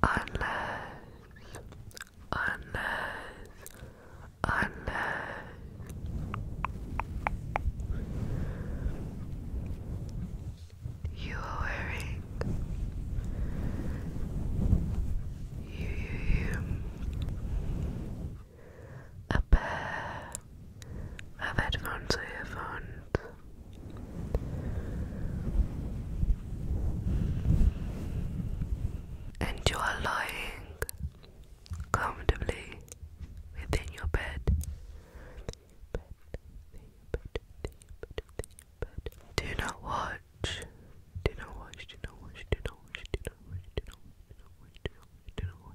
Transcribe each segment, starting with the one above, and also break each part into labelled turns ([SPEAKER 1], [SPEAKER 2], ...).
[SPEAKER 1] Unless, unless, unless you are wearing you, you, you a pair of headphones or earphones. And you are lying comfortably within your bed. Do not watch. Do not watch. Do not watch. Do not watch. Do not watch. Do not watch. Do not watch. Do not watch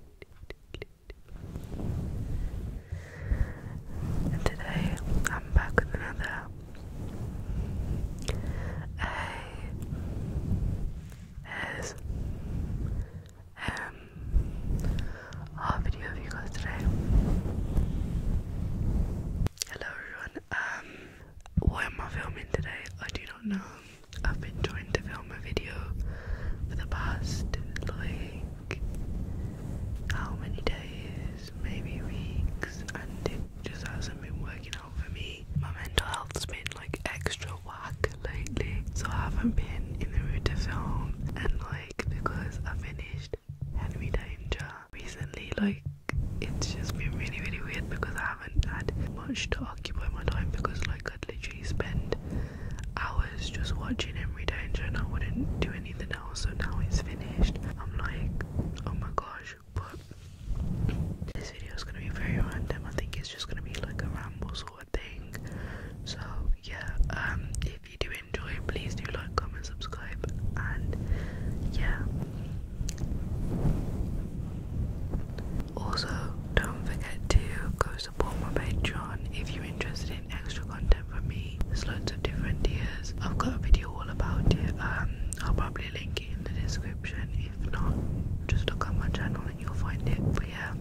[SPEAKER 1] and today I'm back with another A S M R video of you guys today. Hello everyone. Um what am I filming today? I do not know. I've been trying to film a video for the past like how many days, maybe weeks, and it just hasn't been working out for me. My mental health's been like extra whack lately, so I haven't been in the mood to film. And like because I finished Henry Danger recently, like it's just been really, really weird because I haven't had much to occupy my time because like i could literally spend hours just watching him read and I wouldn't do anything else. So now it's finished. I'm like, oh my gosh, but this video is gonna be very random. I think it's just gonna be like a ramble sort of thing. So yeah, um, if you do enjoy, please do like, comment, subscribe, and yeah. Also, don't forget to go support my Patreon if you're interested in extra content from me. There's loads of different tiers. I've got a video all about it. Um, I'll probably link it in the description. If not, just look at my channel and you'll find it. But yeah,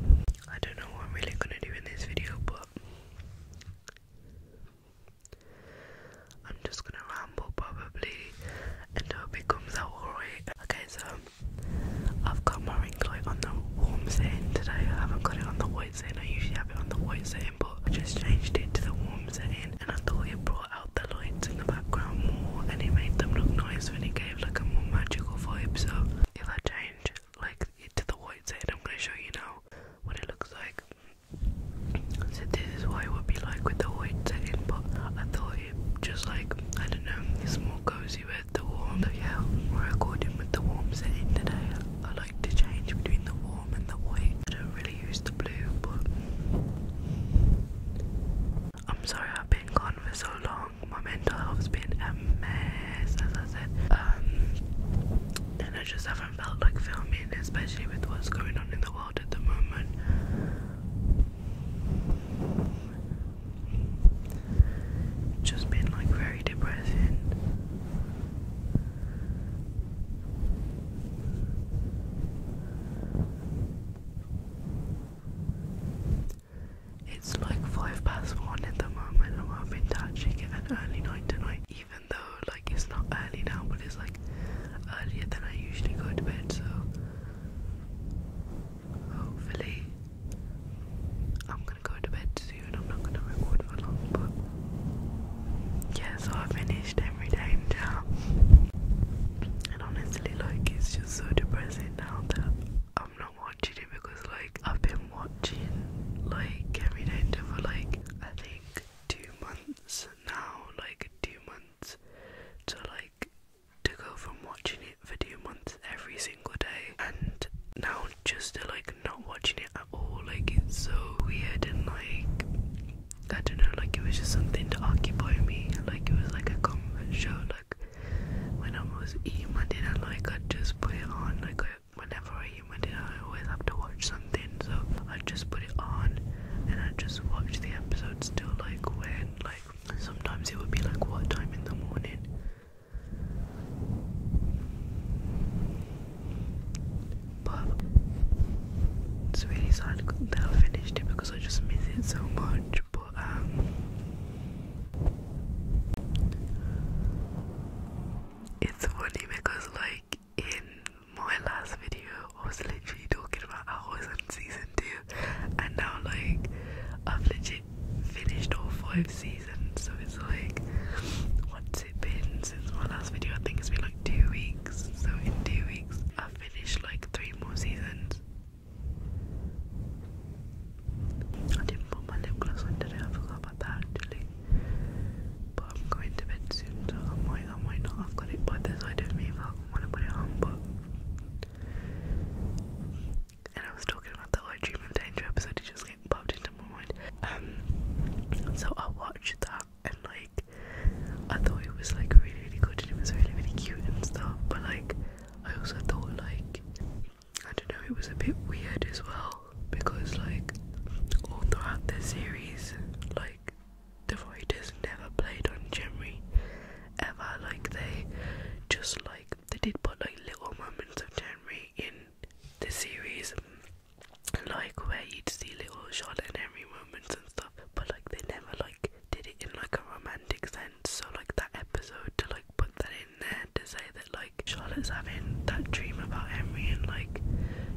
[SPEAKER 1] I don't know what I'm really gonna do in this video, but I'm just gonna ramble probably and it comes out alright. Okay, so I've got my ring light on the warm setting today. I haven't got it on the white setting. I usually have it on the white setting, but I just changed it to the warm setting, and I thought it brought out the lights in the background more, and it made them look nice, when it gave like a more magical vibe. So if I change like it to the white setting, I'm gonna show you now what it looks like. So this is what it would be like with the white setting, but I thought it just like I don't know, it's more cozy with the warm, yeah, we're recording with the warm setting today. I like to change between the warm and the white. I don't really use the blue, but I'm sorry I've been gone for so long. My mental health's been a mess, as I said. Um, and I just haven't felt like filming, especially with what's going on in the world at the moment. It's just been like very depressing. It's like five past one at the moment. i have been touching actually an early night tonight, even though like it's not early now, but it's like earlier than I usually go to bed. So hopefully I'm gonna go to bed soon. I'm not gonna record for long, but yeah, so I finished every day now. And honestly, like, it's just so depressing now that I'm not watching it because, like, I've been watching like every day for like I think two months now, like two months to like to go from watching it for two months every single day and now just like not watching it at all like it's so weird and like I don't know like it was just something to occupy me like it was like a comfort show like when I was eating my dinner like I just put it on like whenever I eat dinner I always have to watch something so I just put it on and I just watched the episodes till like when like sometimes it would be like what time in the morning but it's really sad that I finished it because I just miss it so much. But um, it's funny because like in my last video, I was literally talking about how I was on season two, and now like i am legit finished all five seasons, so it's like, what's it been since my last video? I think it's been like two weeks, so in two weeks, I've finished like three more seasons. I didn't put my lip gloss on today, I forgot about that actually. But I'm going to bed soon, so I might, I might not have got it by the side of me if I want to put it on, but and I was talking about the achievement danger episode, it just like popped into my mind. Um, so I watched that and like I thought it was like really really good and it was really really cute and stuff, but like I also thought like I don't know it was a bit weird as well because like all throughout the series like the writers never played on Jimmy ever like they just like they did put like little moments of Henry in the series, like where you'd see little Charlotte and Henry moments and stuff, but like they never like did it in like a romantic sense. So like that episode to like put that in there to say that like Charlotte's having that dream about Henry and like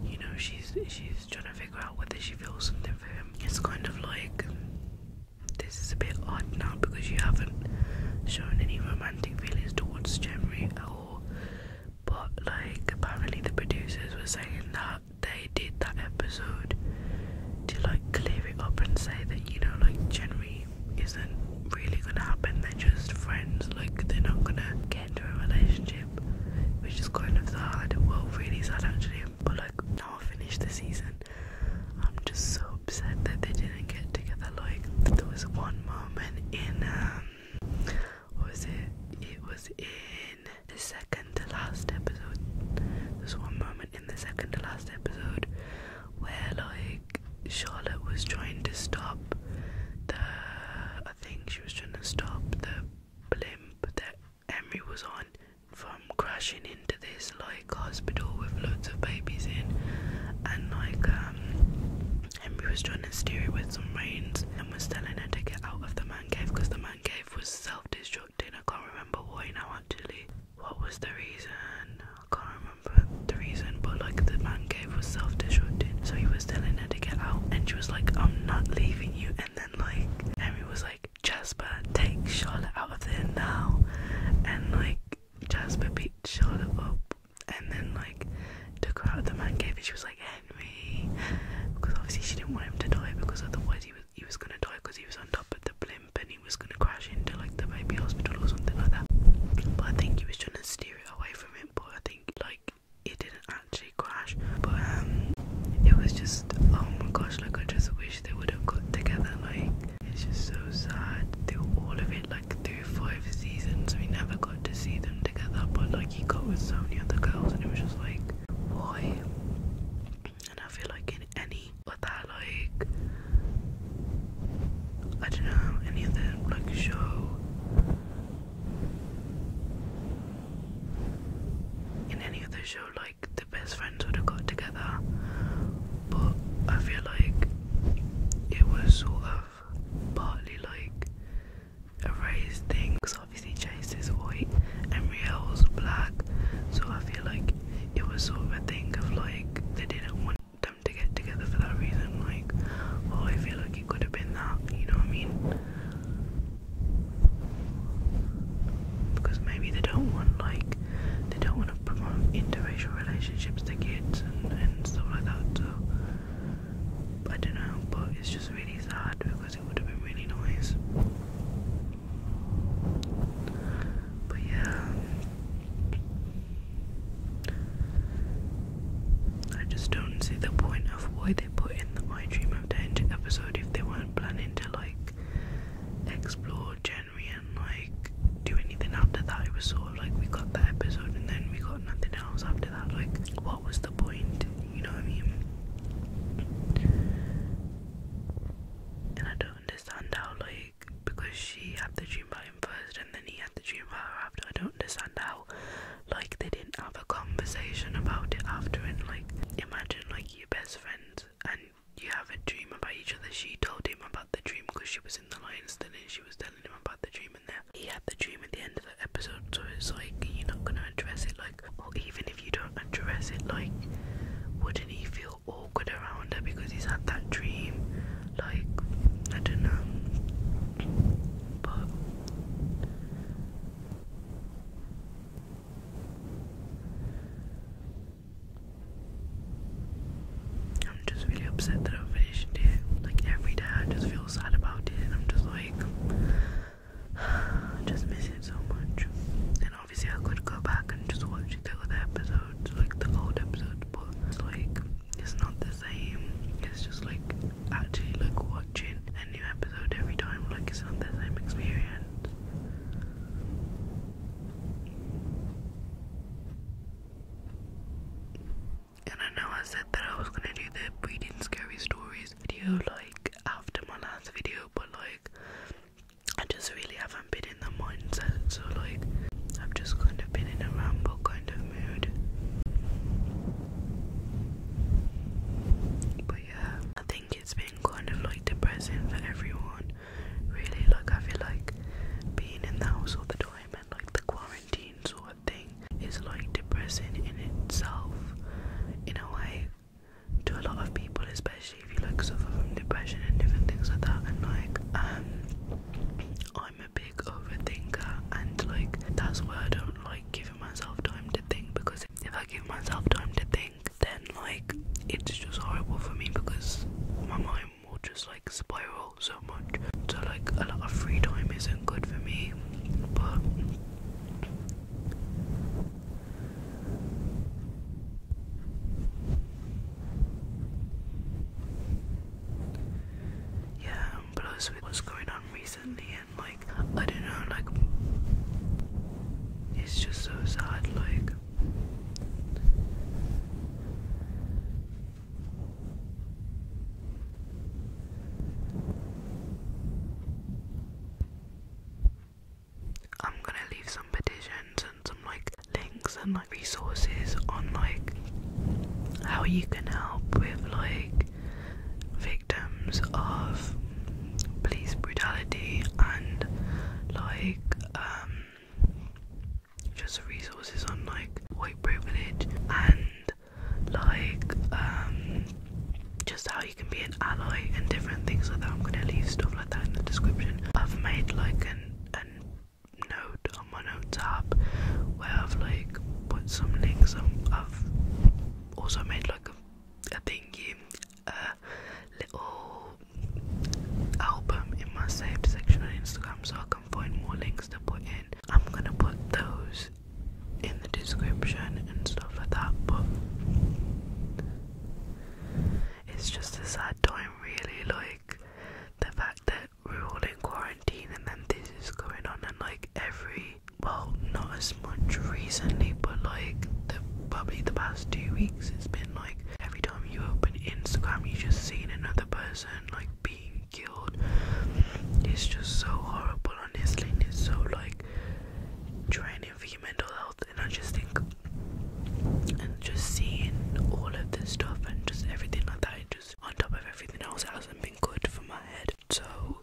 [SPEAKER 1] you know she's she's trying to figure out whether she feels something for him. It's kind of like this is a bit odd now because you haven't shown any romantic feelings towards Jeremy at all. But like apparently the producers were saying that they did that episode to like clear it up and say that you know like Jeremy isn't really gonna happen, they're just friends, like they're not gonna get into a relationship. Which is kind of sad. Well really sad actually. But like now I finished the season I'm just so upset that they didn't get together. Like there was one moment in um, was it? It was in the second to last episode. There's one moment in the second to last episode where like Charlotte was trying to stop the. I think she was trying to stop the blimp that Emery was on from crashing into this like hospital with loads of babies in and like um Henry was trying to steer it with some reins and was telling her to get out of the man cave because the man cave was self-destructing. I can't remember why now actually. What was the reason? I can't remember the reason but like the man cave was self-destructing. So he was telling her to get out and she was like I'm not leaving you and then like Henry was like Jasper take Charlotte out of there now and like Jasper beat Charlotte up and then like took her out of the man cave and she was like Henry because obviously she didn't want him to die because otherwise he was he was gonna die because he was on top of the blimp and he was gonna crash into like the baby hospital or something like that. But I think he was trying to steer it away from him but I think like it didn't actually crash but um it was just oh my gosh like I just wish they would have got together like it's just so sad through all of it, like through five seasons, we never got to see them together. But like he got with so many other girls, and it was just like, why? And I feel like in any other like, I don't know, any other like show. In any other show, like the best friends would have got together, but I feel like it was sort of partly like a raised thing because obviously Chase is white and is black, so I feel like it was sort of a thing of like they didn't want them to get together for that reason. Like, oh, I feel like it could have been that, you know what I mean? Because maybe they don't want like they don't want promote interracial relationships to kids and, and stuff like So I don't know, but it's just really sad because it would have been really nice. But yeah, I just don't see the point of why they put in the "I Dream of Danger" episode if they weren't planning to like explore January like do anything after that. It was sort of like we got that episode and then we got nothing else after that. Like, what was the point? You know what I mean? And I don't understand how, like, because she had the dream about him first and then he had the dream about her after. I don't understand how, like, they didn't have a conversation about it after. And, like, imagine, like, your best friends and you have a dream about each other. She told him about the dream because she was in the lion's den and she was telling him about the dream and there. He had the dream at the end of the episode, so it's like you're not gonna address it like or even if you don't address it like wouldn't he feel awkward around her because he's had that dream? Like I don't know. But I'm just really upset that I finished it. Like every day, I just feel sad about it, and I'm just like, I just miss it so much. And obviously, I could go back and just watch the other episodes, like the old episodes, but it's like it's not the same. It's just like actually like watching a new episode every time. Like it's not the same experience. And I know I said that I was gonna do the reading scary stories video like after my last video, but like I just really haven't been in the mindset, so like I've just kind of been in a ramble kind of mood. But yeah, I think it's been kind of like depressing for everyone. Really, like I feel like being in the house all the time and like the quarantine sort of thing is like depressing in itself in a way to a lot of people especially if you like suffer from depression and different things like that and like um I'm a big overthinker and like that's why I don't like giving myself time to think because if I give myself time to think then like it's just horrible for me because my mind will just like spiral so much. So like a lot of free time isn't good for me, but yeah, plus with what's going on recently and like I don't know, like it's just so sad, like I'm gonna leave some petitions and some like links and like resources on like how you can help with like victims of police brutality and like um just resources on like white privilege and like um just how you can be an ally and different things like that. I'm gonna leave stuff like that in the description. I've made like an an note on my notes app where I've like put some links. I've also made like a, thingy, a little album in my saved section on Instagram so I can find more links to put in I'm gonna put those in the description and stuff like that, but it's just a sad time, really. Like the fact that we're all in quarantine and then this is going on, and like every well, not as much recently, but like probably the past two weeks, it's been like every time you open Instagram, you just see another person like being killed. It's just so horrible, honestly. And it's so like draining for your mental health. And I just think, and just seeing all of this stuff and just everything like that, just on top of everything else, hasn't been good for my head. So,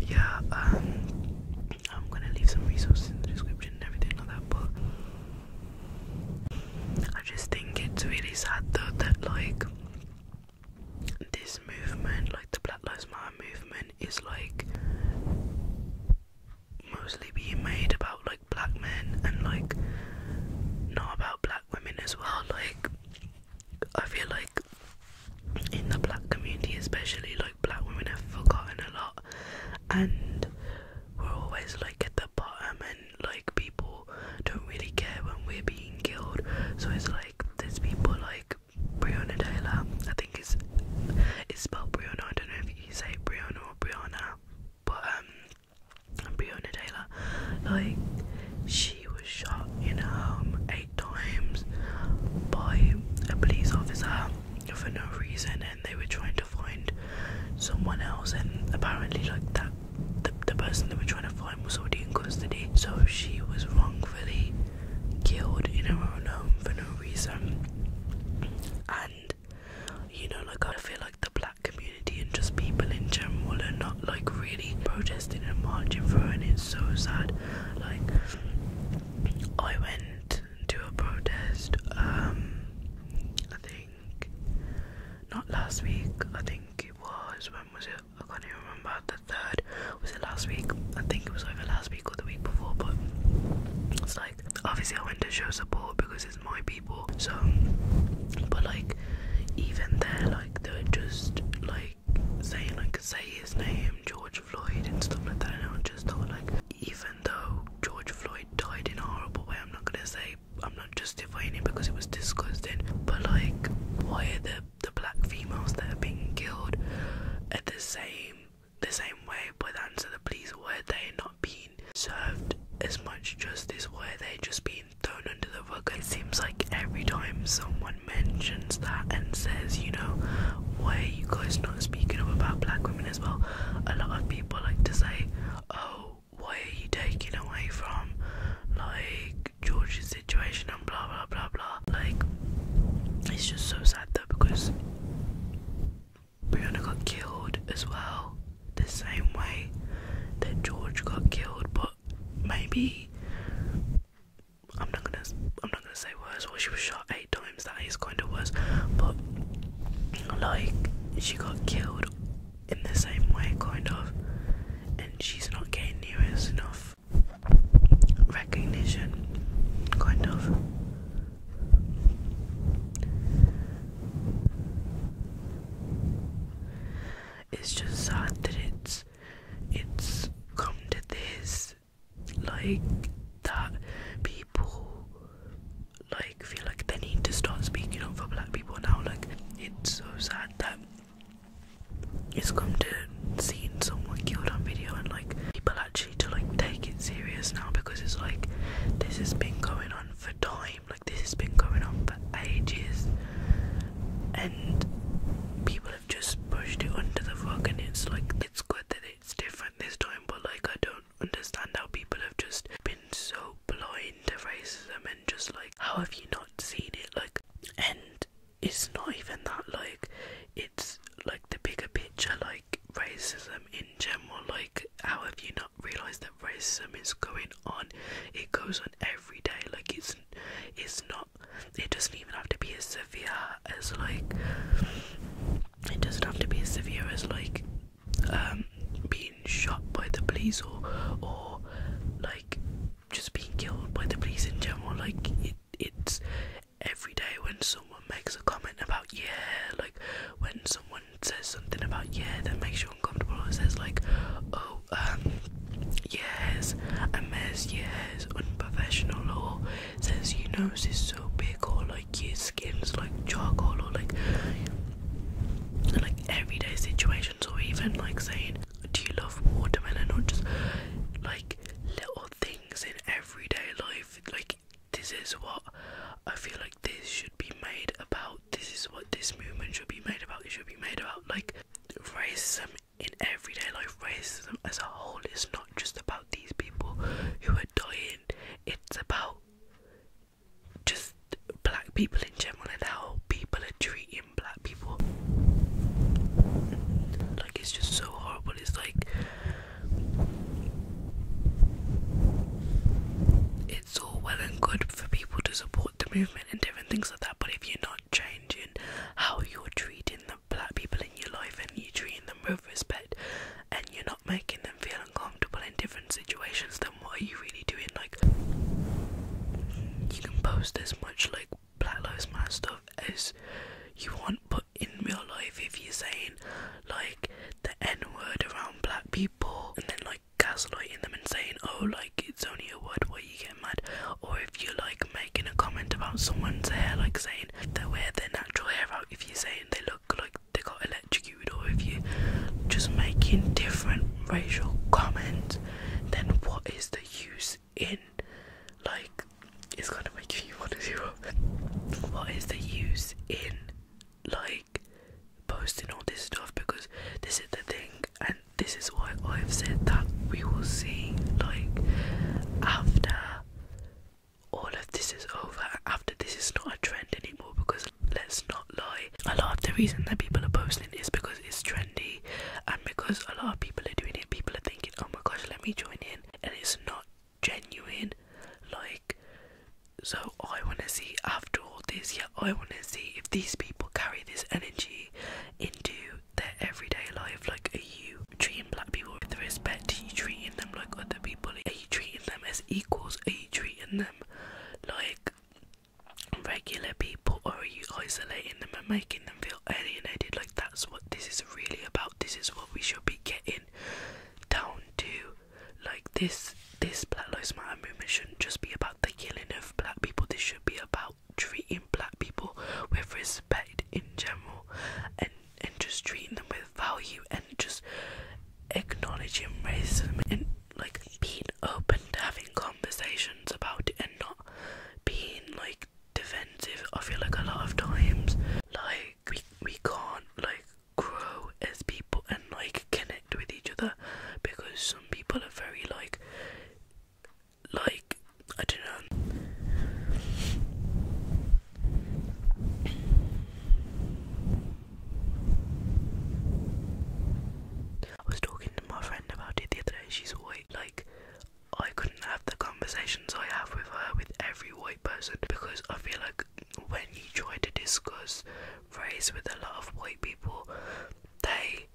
[SPEAKER 1] yeah, um, I'm gonna leave some resources in the description and everything like that, but. I just think it's really sad though that like this movement, like the Black Lives Matter movement, is like mostly being made about like black men and like not about black women as well. Like, I feel like in the black community, especially, like black women have forgotten a lot and we're always like at the bottom and like people don't really care when we're being killed. So it's like there's people like Breonna Taylor. I think it's it's spelled Breonna. I don't know if you say Breonna or Brianna, but um, Breonna Taylor, like she was shot in her home eight times by a police officer for no reason, and they were trying to find someone else, and apparently like that the, the person they were trying to find was already in custody, so she was wrongfully killed in her own home for no reason. And you know, like I feel like the black community and just people in general are not like really protesting and marching for her, and it's so sad. Like, I went to a protest, um, I think not last week, I think it was when was it? I can't even remember. The third was it last week? I think it was either last week or the week before. But it's like obviously I went to show support because it's my people. So, but like even there, like they're just like saying like say his name, George Floyd, and stuff like that. And I just thought like even though George Floyd died in a horrible way, I'm not gonna say I'm not justifying it because it was disgusting, but like, why are the the black females that are being killed at the same the same way by the hands of the police? Why are they not being served as much justice? Why are they just being thrown under the rug? It seems like every time someone mentions that and says, you know, why are you guys not speaking up about black women as well? A lot of people like to say, oh. Why are you taking away from like George's situation and blah blah blah blah. Like it's just so sad though because Brianna got killed as well, the same way that George got killed, but maybe I'm not gonna I'm not gonna say worse. Well she was shot eight times, that is kinda worse, but like she got killed in the same way, kind of, and she's not getting near us enough recognition, kind of. It's just sad that it's it's come to this, like that people like feel like they need to start speaking up for black people now. Like it's so sad that it's come to seeing someone killed on video and like people actually to like take it serious now because it's like this has been going on for time like this has been going on for ages and people have just pushed it under the rug and it's like it's good that it's different this time but like I don't understand how people have just been so blind to racism and just like how have you not seen it like and it's not even that like it's like the bigger picture like racism in general like how have you not realized that racism is going on it goes on every day like it's it's not it doesn't even have to be as severe as like it doesn't have to be as severe as like um, being shot by the police or or like just being killed by the police in general. Like it, it's every day when someone makes a comment about yeah, like when someone says something about yeah that makes you uncomfortable, or says like oh um yes, a mess yes, unprofessional, or says your nose is so big, or like your skin's like charcoal, or like. Like everyday situations, or even like saying, do you love watermelon or just like little things in everyday life? Like, this is what I feel like this should be made about. This is what this movement should be made about. It should be made about like racism in everyday life. Racism as a whole is not just about these people who are dying, it's about just black people in general and how people are treating black people. Like it's just so horrible. It's like it's all well and good for people to support the movement and different things like that, but if you're not changing how you're treating the black people in your life and you're treating them with respect and you're not making them feel uncomfortable in different situations, then what are you really doing? Like you can post as much like Black Lives Matter stuff as you want, but in real life, if you're saying like the N word around black people and then like gaslighting them and saying, oh, like it's only a word, where you get mad, or if you like making a comment about someone's hair, like saying they wear their natural hair out, if you're saying they look like they got electrocuted, or if you're just making different racial comments, then what is the use in. Like, it's gonna make you want to do up. What is the use in, like, posting all this stuff? Because this is the thing, and this is why I've said that we will see, like, after all of this is over, after this is not a trend anymore. Because let's not lie, a lot of the reason that people are posting is because it's trendy and because a lot of people are doing it people are thinking oh my gosh let me join in and it's not genuine like so i want to see after all this yeah i want to see if these people carry this energy into their everyday life like are you treating black people with respect are you treating them like other people are you treating them as equals are you treating them like regular people or are you isolating them and making them feel alienated like that's what this is really about this is what we should be getting down to like this this black lives matter movement shouldn't just be about the killing of black people this should be about treating black people with respect in general and and just treating them with value and just acknowledging racism and like being open to having conversations about it and not being like defensive I feel like a lot of times like we we can't like grow as people and like connect with each other because some people are very like like I don't know I was talking to my friend about it the other day she's white like I couldn't have the conversations I have with her with every white person because I feel like when you try to discuss race with a lot of white people, they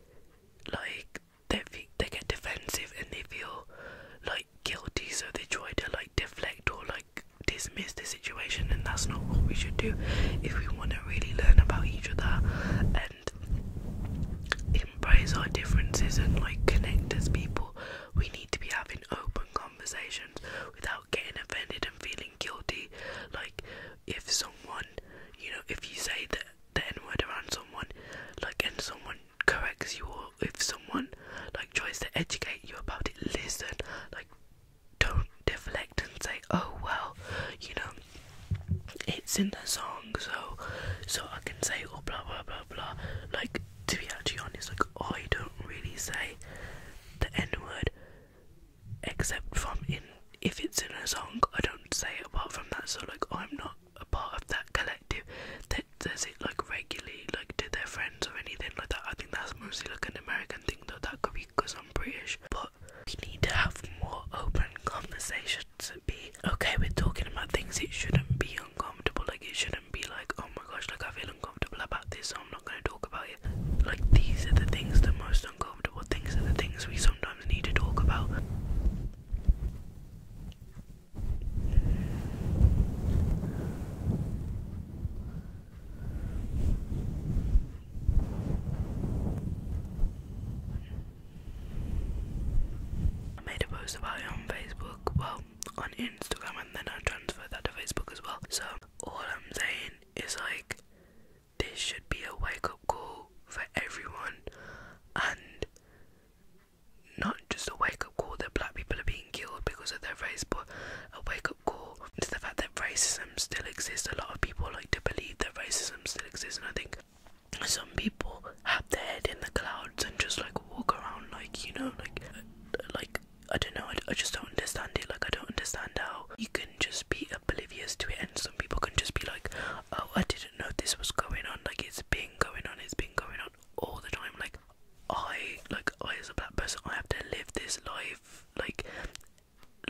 [SPEAKER 1] like they they get defensive and they feel like guilty, so they try to like deflect or like dismiss the situation, and that's not what we should do if we want to really learn about each other and embrace our differences and like connect as people. We need to be having open conversations without getting offended and feeling guilty. Like, if someone, you know, if you say the, the N word around someone, like, and someone corrects you, or if someone, like, tries to educate you about it, listen. Like, don't deflect and say, oh, well, you know, it's in the song, so so I can say oh blah blah blah blah. Like to be actually honest, like I don't really say the N word except from in if it's in a song. I don't say it apart from that. So like I'm not a part of that collective that does it like regularly, like to their friends or anything like that. I think that's mostly like an American thing, though. That could be because I'm British, but we need to have more open conversation should be okay with talking about things. It shouldn't be uncomfortable. Like it shouldn't be like, oh my gosh, like I feel uncomfortable about this, so I'm not gonna talk about it. Like these are the things, the most uncomfortable things are the things we sometimes need to talk about. I made a post about it on Facebook, well, on Instagram, and then I transferred that to Facebook as well. So, all I'm saying is like, this should be a wake up call for everyone, and not just a wake up call that black people are being killed because of their race, but a wake up call to the fact that racism still exists. A lot of people like to believe that racism still exists, and I think some people have their head in the clouds and just like walk around like you know like like I don't know I, I just don't understand it like I don't understand how you can just be oblivious to it and some people can just be like oh I didn't know this was going on like it's been going on it's been going on all the time like I like I as a black person I have to live this life like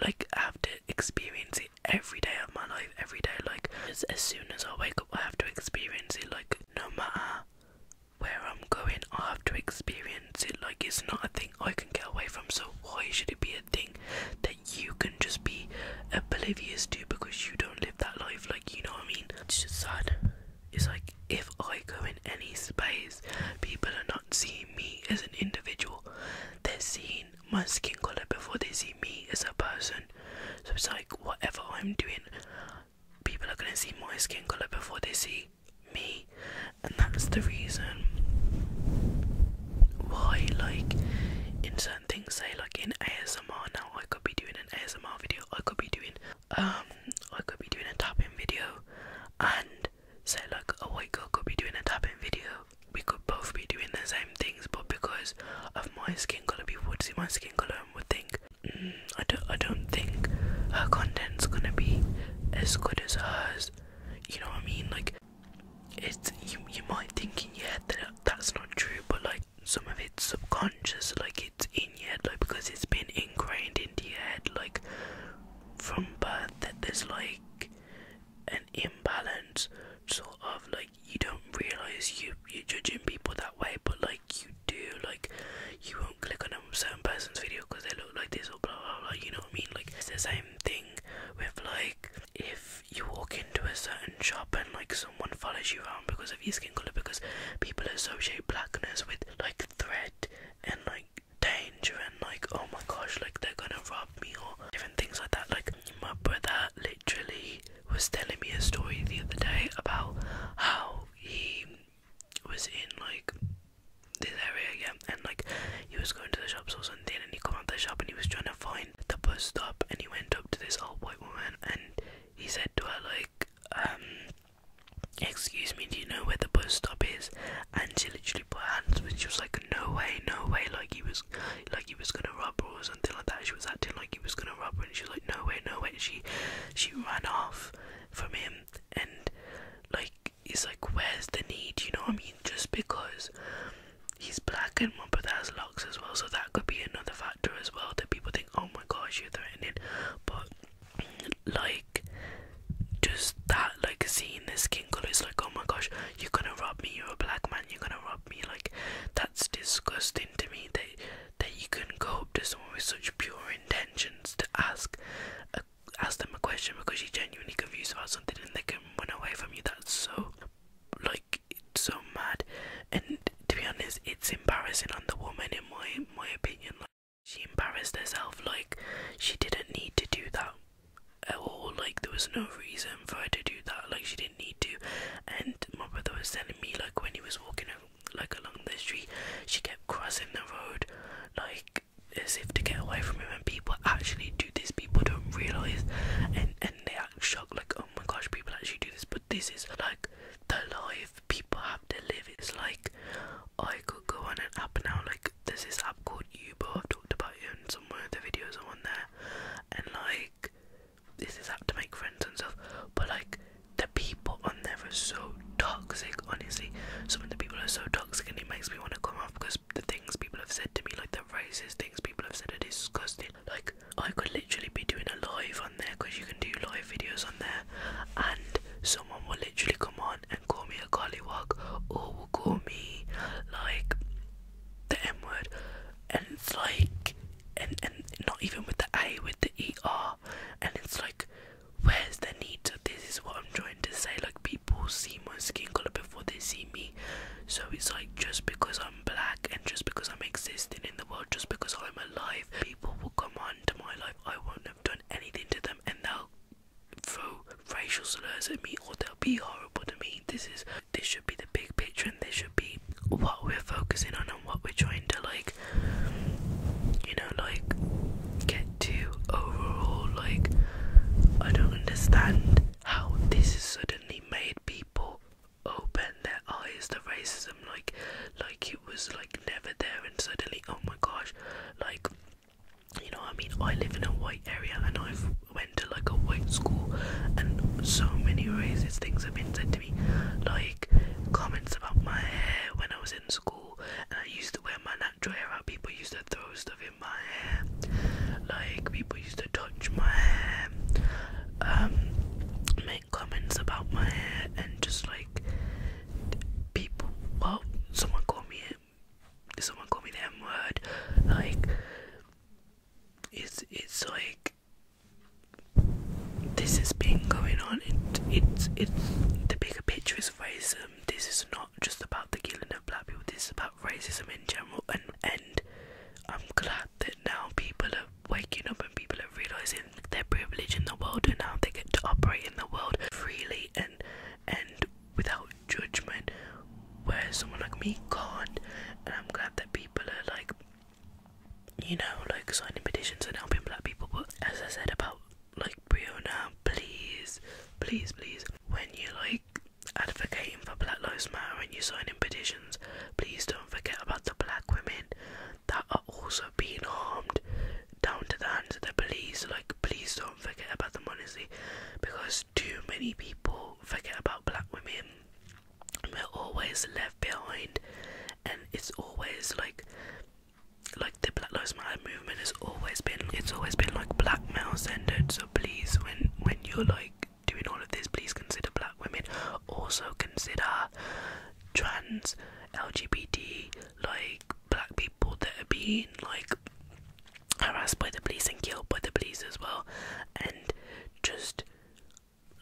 [SPEAKER 1] like I have to experience it every day of my life every day like as, soon as I wake up. I have to experience it like no matter where I'm going, I have to experience it like it's not a thing I can get away from. So, why should it be a thing that you can just be oblivious to because you don't live that life? Like, you know what I mean? It's just sad. It's like if I go in any space, people are not seeing me as an individual, they're seeing my skin color before they see me as a person. So it's like whatever I'm doing, people are gonna see my skin color before they see me, and that's the reason why, like, in certain things, say, like in ASMR now, I could be doing an ASMR video, I could be doing, um, I could be doing a tapping video, and say, like, a white girl could be doing a tapping video. We could both be doing the same things, but because of my skin color, people would see my skin color would think, mm, I don't, I don't think her content's gonna be as good as hers. You know what I mean? Like, it's you. You might think in your head that that's not true, but like some of it's subconscious. Like it's in your head, like because it's been ingrained into your head, like from birth that there's like an imbalance, sort of like you don't realize you you're judging people that way, but like you do, like you won't click on a certain person's video because they look like this or blah blah blah. You know what I mean? Like it's the same thing with like if you walk into a certain shop and like someone follows you around because of your skin color, because people associate blackness with like threat and like danger and like oh my gosh like they're gonna rob me or different things like that like my brother literally was telling me a story the other day about how he was in like this area again yeah, and like he was going to the shops or something and he come out the shop and he was trying to find the bus stop and he went up to this old white woman and he said to her like um excuse me do you know where the bus stop is and she literally put her hands which was like no way no way like he was like he was gonna rub her or something like that she was acting like he was gonna rub her and she was no way, no way. She, she ran off from him, and like, he's like, where's the need? You know what I mean? Just because he's black and my brother has locks as well, so that could be another factor as well that people think, oh my gosh, you're threatening. But like, just that, like, seeing this skin color is like, oh my gosh, you're gonna rob me. You're a black man. You're gonna rob me. Like, that's disgusting to me. They that you can go up to someone with such pure intentions to ask ask them a question because you're genuinely confused about something and they can run away from you. That's so like it's so mad. And to be honest, it's embarrassing on the woman in my my opinion. Like she embarrassed herself. Like she didn't need to do that at all. Like there was no reason for her to do that. Like she didn't need to. And my brother was telling me like when he was walking over like along the street. She kept crossing the road, like as if to get away from him. And people actually do this. People don't realize, and and they act shocked, like oh my gosh, people actually do this. But this is like the life people have to live. It's like I could go on an app now. Like there's this app called Uber. I've talked about it in some of the videos I'm on there, and like this is how to make friends and stuff, but like the people on there are so toxic, honestly. Some of the people are so toxic, and it makes me want to come off because the things people have said to me, like the racist things people have said, are disgusting. Like, I could literally be doing a live on there because you can do live videos on there, and someone will literally come on and call me a gollywog or will call me like the M word, and it's like and and not even with the A, with the ER, and it's like, where's the need? To, this is what I'm trying to say. Like people see my skin color before they see me, so it's like just because I'm black and just because I'm existing in the world, just because I'm alive, people will come on to my life. I won't have done anything to them, and they'll throw racial slurs at me or they'll be horrible to me. This is this should be the big picture, and should be what we're focusing on and what we're trying to like you know like get to overall like I don't understand how this has suddenly made people open their eyes to racism like like it was like never there and suddenly oh my gosh like you know i mean i live in a white area and i've went to like a white school and so many racist things have been said to me like comments about my hair when I was in school and I used to wear my natural hair People used to throw stuff in my hair. Like people used to touch my hair. Um make comments about my hair and just like people well someone called me someone called me the M word like it's it's like this has been going on. It, it's it's the bigger picture is racism. This is not just about the killing of black people. This is about racism in general. And and I'm glad that now people are waking up and people are realizing their privilege in the world and how they get to operate in the world freely and and without judgment. Where someone like me can't. And I'm glad that people are like you know, like signing petitions and helping black people. But as I said about like Breonna, please, please, please, when you like advocating for Black Lives Matter and you signing petitions, please don't forget about the black women that are also being harmed down to the hands of the police. Like, please don't forget about them, honestly, because too many people forget about black women. We're always left behind and it's always like like the Black Lives Matter movement has always been it's always been like black blackmail centered. So please, when when you're like doing all of this, please consider black women. Also consider trans, LGBT, like black people that are being like harassed by the police and killed by the police as well. And just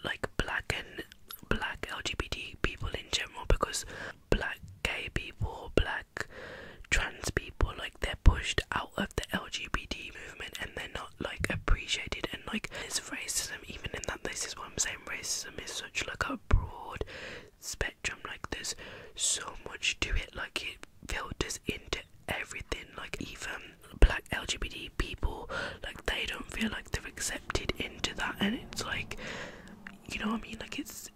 [SPEAKER 1] like black and black LGBT people in general because black gay people, black trans people, like they're pushed out of the LGBT movement and they're not like appreciated and like there's racism even in that this is what I'm saying racism is such like a broad spectrum like there's so much to it like it filters into everything like even black LGBT people like they don't feel like they're accepted into that and it's like you know what I mean like it's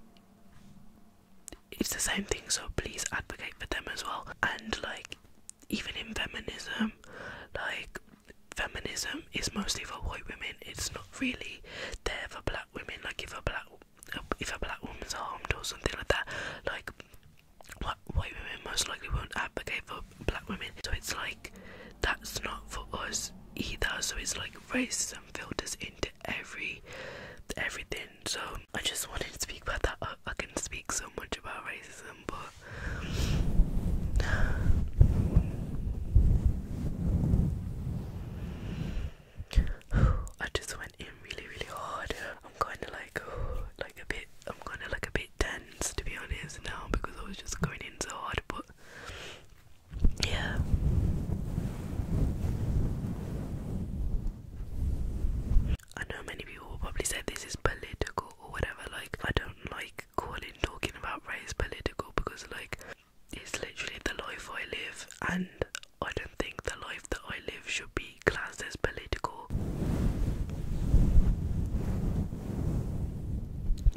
[SPEAKER 1] it's the same thing so please advocate for them as well and like even in feminism like feminism is mostly for white women it's not really there for black women like if a black if a black woman's harmed or something like that like white women most likely won't advocate for black women so it's like that's not for us either. So it's like racism filters into every everything. So I just wanted to speak about that. I, I can speak so much about racism, but I just went in really, really hard. I'm kind of like, oh, like a bit. I'm kind of like a bit tense to be honest now because I was just going in so hard. But yeah. I know many people probably say this is political or whatever, like, I don't like calling talking about race political because, like, it's literally the life I live, and I don't think the life that I live should be classed as political.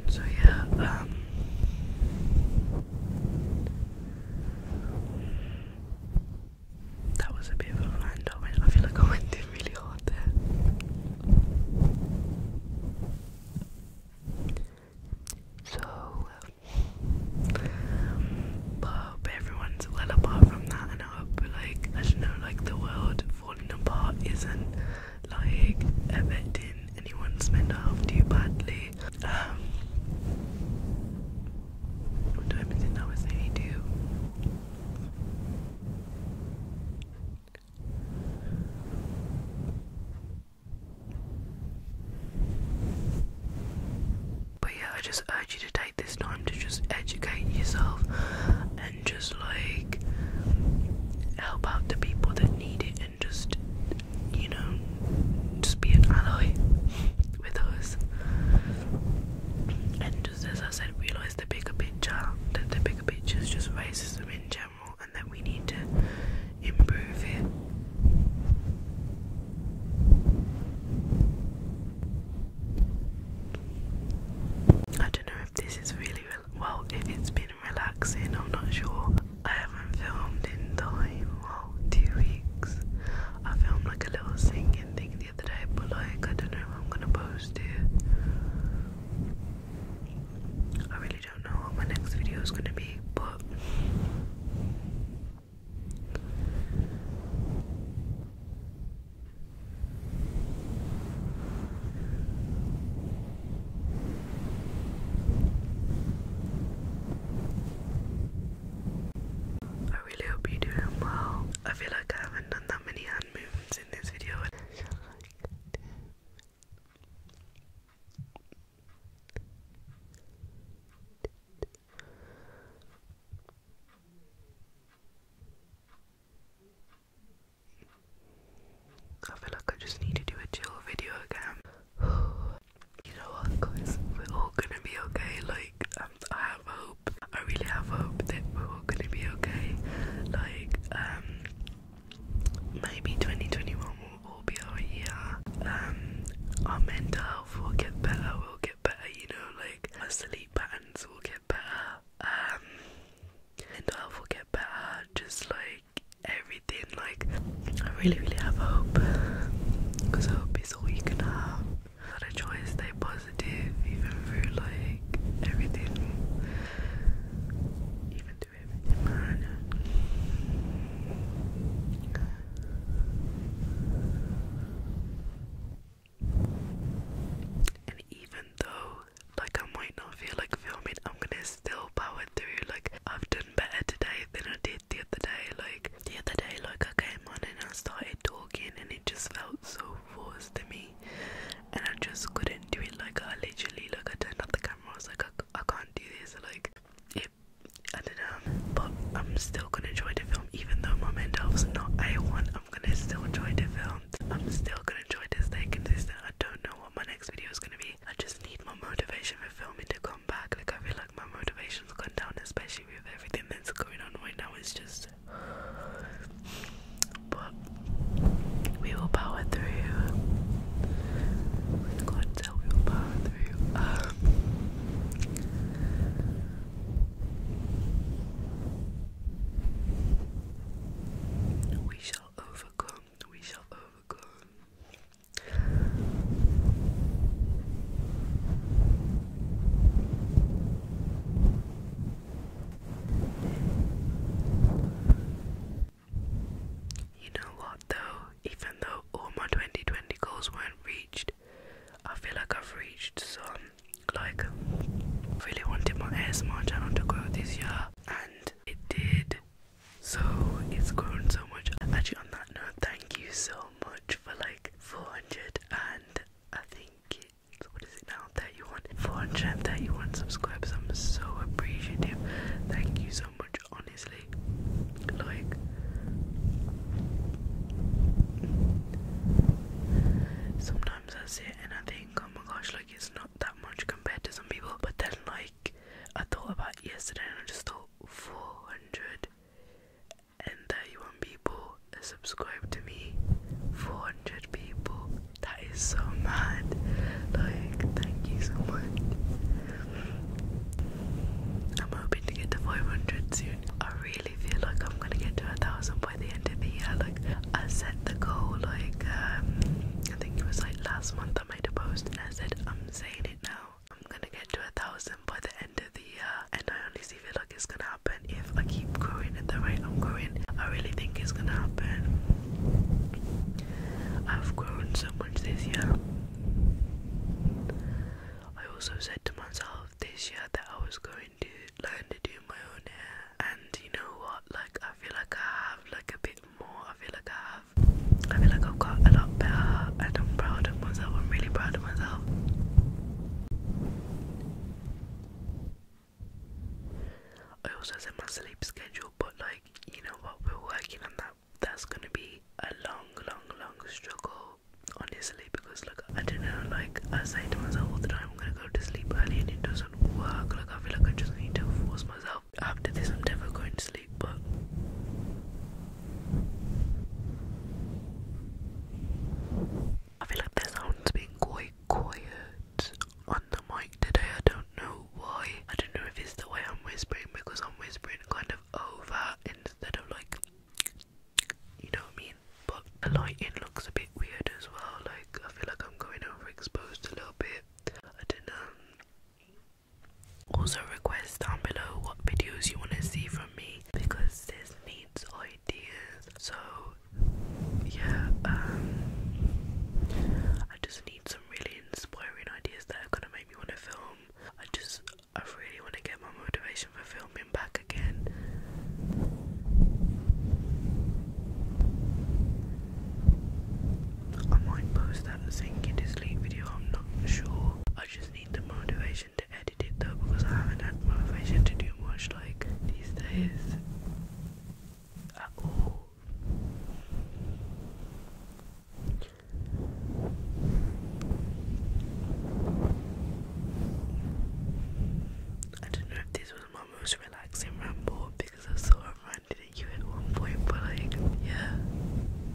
[SPEAKER 1] So yeah, um that was a bit of a random I feel like I went in really hard there. So um, but I hope everyone's well apart from that and I hope like I don't know like the world falling apart isn't like affecting anyone's mental health too badly. Um, what time is it now? It's But yeah, I just urge you to take this time to just educate yourself and just like help out the people that need it and just, you know, just be an ally with us. And just as I said, realize the bigger picture, that the bigger picture is just racism in general, and that we need to improve it. I don't know if this is really well. If it's been relaxing, I'm not sure. I haven't filmed in time, well, two weeks. I filmed like a little singing thing the other day, but like, I don't know if I'm gonna post it. I really don't know what my next video is gonna be, but. I really hope you're doing well. I feel like I haven't done that many hand movements in this video. I feel like I just need to do a chill video again. you know what, guys? We're all gonna be okay. Like, um, I have hope. I really have hope that we're all gonna be okay. Like, um, maybe 2021 will all be our year. Um, our mental health will get better. We'll get better, you know. Like, our sleep patterns will get better. Um, mental health will get better. Just like everything. Like, I really, really have hope because hope is all you can have. I to stay positive even through like everything, even through everything, And even though, like, I might not feel like filming, I'm gonna still powered through. Like, I've done better today than I did the other day. Like, the other day, like, I came on and I started talking, and it just felt so forced to me. And I just couldn't do it. Like, I literally, like, I turned off the camera. I was like, I, can't do this. Like, it, I don't know. But I'm still gonna enjoy the film, even though my mental health's not A1. I'm gonna still enjoy the film. I'm still gonna enjoy this stay consistent. I don't know what my next video is gonna be. I just need more motivation for filming to come back. Like I feel like my motivation's gone down, especially with everything that's going on right now. It's just but we will power through. With God's help we will power through. Um, we shall overcome, we shall overcome. You know what though? Even though all my 2020 goals weren't reached, I feel like I've reached some. Like, really wanted my ASMR channel to grow this year, and it did. So it's grown so much. Actually, on that note, thank you so much for like 400 and I think it's what is it now? 31, 431 subscribers. I'm so appreciative. Thank you so much, honestly. Like, sometimes I sit and I think, oh my gosh, like it's not that much compared to some people, but then like I thought about yesterday and I just thought, 431 people uh, subscribe to me. 400 people. That is so mad. Like, thank you so much. I'm hoping to get to 500 soon. I really feel like I'm gonna get to a thousand by the end of the year. Like, I set the goal, like, um, I think it was like last month I made a post and I said, I'm saying it now. I'm gonna get to a thousand by the end of the year, and I honestly feel like it's gonna happen if I keep growing at the rate I'm growing. I really think it's gonna happen. I've grown so much this year. I also said to myself this year that I was going to learn to do my own hair, and you know what? Like, I feel like I have like a bit more. I feel like I have I feel like I've got a lot better and I'm proud of myself. I'm really proud of myself. I also said my sleep schedule, but like, you know what, we're working on that. That's gonna be a long, long, long struggle, honestly, because like, I don't know, like, I say to myself all the time, I'm gonna go to sleep early and it doesn't work. Like, I feel like I just need to force myself after this, I'm never going to sleep, but. I feel like the sound's quite quiet on the mic today. I don't know why. I don't know if it's the way I'm whispering because I'm whispering kind of over instead of like. You know what I mean? But the lighting looks a bit weird as well. Like, I feel like I'm going overexposed a little bit. I didn't, um, also request down below what videos you want to see from me because this needs ideas. So yeah, um I just need some really inspiring ideas that are gonna make me wanna film. I just I really wanna get my motivation for filming back again. I might post that sinking to sleep video, I'm not sure. I just need the motivation to edit it though because I haven't had motivation to do much like these days at all. I don't know if this was my most relaxing ramble because I saw a friend did at you at one point, but like, yeah.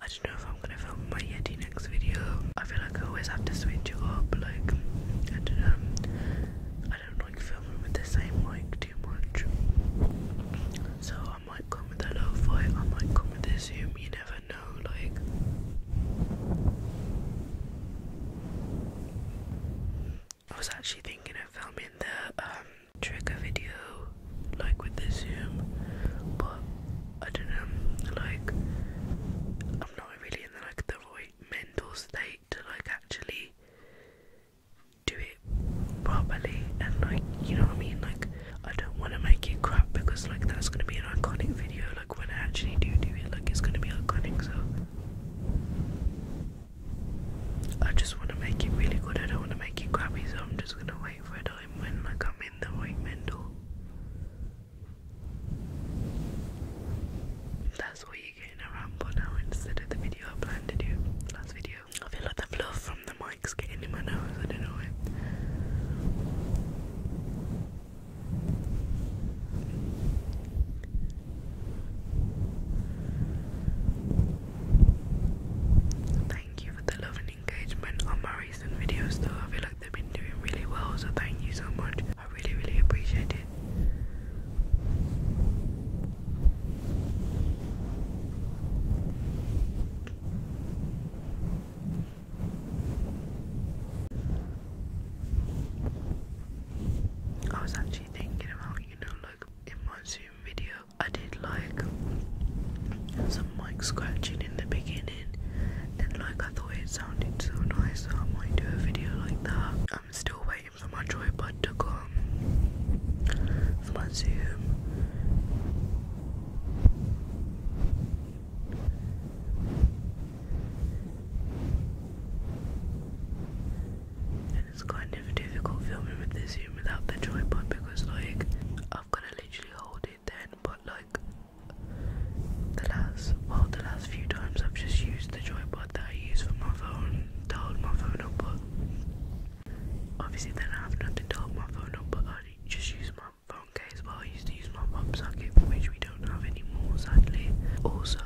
[SPEAKER 1] I don't know if I'm gonna film my Yeti next video. I feel like I always have to switch it up, like I don't um, I don't like filming with the same mic too much. So I might come with a low fi I might come with a zoom, you never know, like I was actually thinking of filming the um, trigger video, like with the Zoom, but I don't know, like, I'm not really in like, the right mental state to, like, actually do it properly, and, like, you know what I mean, like, I don't want to make it crap, because, like, that's going to be an iconic video, like, when I actually do do it, like, it's going to be iconic, so... I just want to make it really good. I don't want to make it crappy, so I'm just gonna wait for a time when I'm in the right mental. That's what you're getting a ramble now instead of the video I planned to do last video. I feel like the fluff from the mic's getting in my nose. I don't know why. Thank you for the love and engagement on my recent videos though. I feel like they've been doing really well, so thank you so much. I really, really appreciate it. I was actually thinking about, you know, like in my Zoom video, I did like some mic scratching in the beginning, and like I thought it sounded so nice, I might do a video like that. I'm still waiting for my tripod to come for my Zoom it's kind of difficult filming with this zoom without the tripod because like I've gotta literally hold it then but like the last well the last few times I've just used the tripod that I use for my phone to hold my phone up obviously then I have nothing to hold my phone up but I just use my phone case Well, I used to use my pop socket which we don't have anymore sadly. Also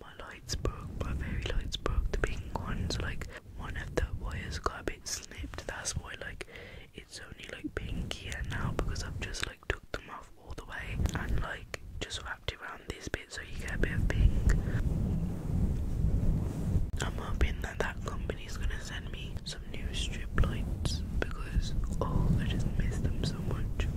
[SPEAKER 1] my lights broke, my very lights broke, the pink ones, like one of the wires got a bit snipped, that's why like it's only like pink here now because I've just like took them off all the way and like just wrapped it around this bit so you get a bit of pink. I'm hoping that that company's gonna send me some new strip lights because oh I just miss them so much.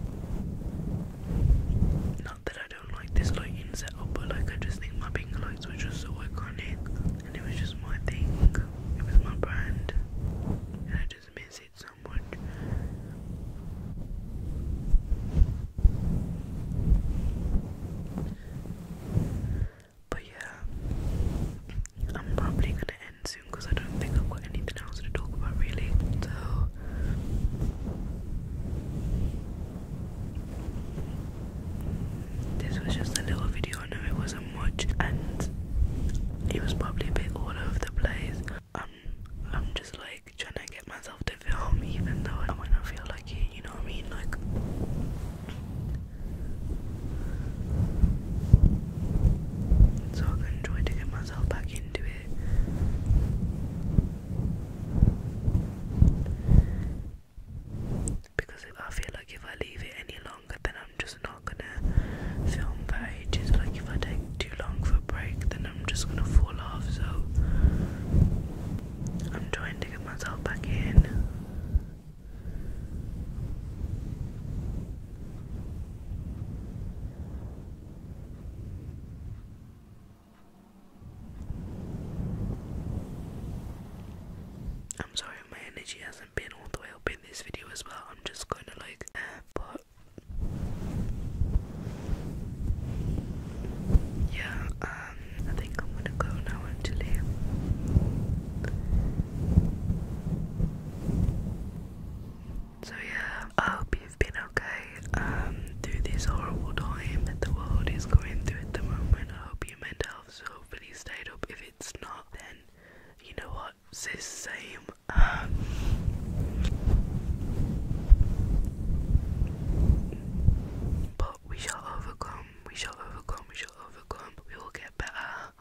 [SPEAKER 1] Not that I don't like this lighting setup, but like I just think my pink lights were just so iconic, and it was just my thing, it was my brand, and I just miss it so much. But yeah, I'm probably gonna end soon because I don't think I've got anything else to talk about really. So this was just a little video, I know it wasn't much, and it was probably a bit all over the place. Um, I'm just like trying to get myself to film, even though I do not wanna feel like it, you know what I mean? Like, so I can try to get myself back into it. Because I feel like if I leave it any longer, then I'm just not gonna film for ages. Like if I take too long for a break, then I'm just gonna fall off. So I'm trying to get myself back in. I'm sorry, my energy hasn't been all the way up in this video as well. I'm just kind of like, but yeah, um, I think I'm gonna go now actually. So yeah, I hope you've been okay um, through this horrible time that the world is going through at the moment. I hope your mental health's hopefully stayed up. If it's not, then you know what? It's the same. Um, but we shall overcome. We shall overcome. We shall overcome. We will get better.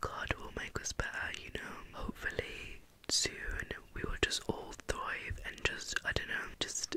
[SPEAKER 1] God will make us better, you know. Hopefully, soon we will just all thrive and just, I don't know, just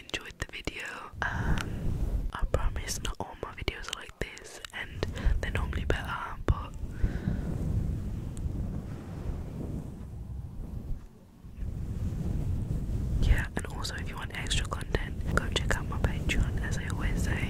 [SPEAKER 1] enjoyed the video. Um, I promise not all my videos are like this, and they're normally better, but yeah. And also, if you want extra content, go check out my Patreon, as I always say.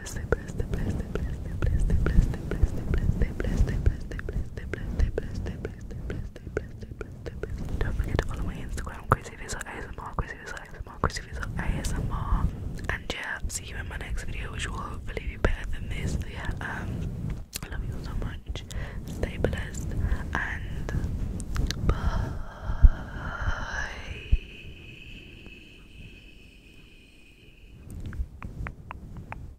[SPEAKER 1] bless don't forget to follow my Instagram crazy visa ASMR crazy visa ASMR crazy visa ASMR and yeah see you in my next video which will hopefully be better than this yeah um I love you all so much stay blessed and bye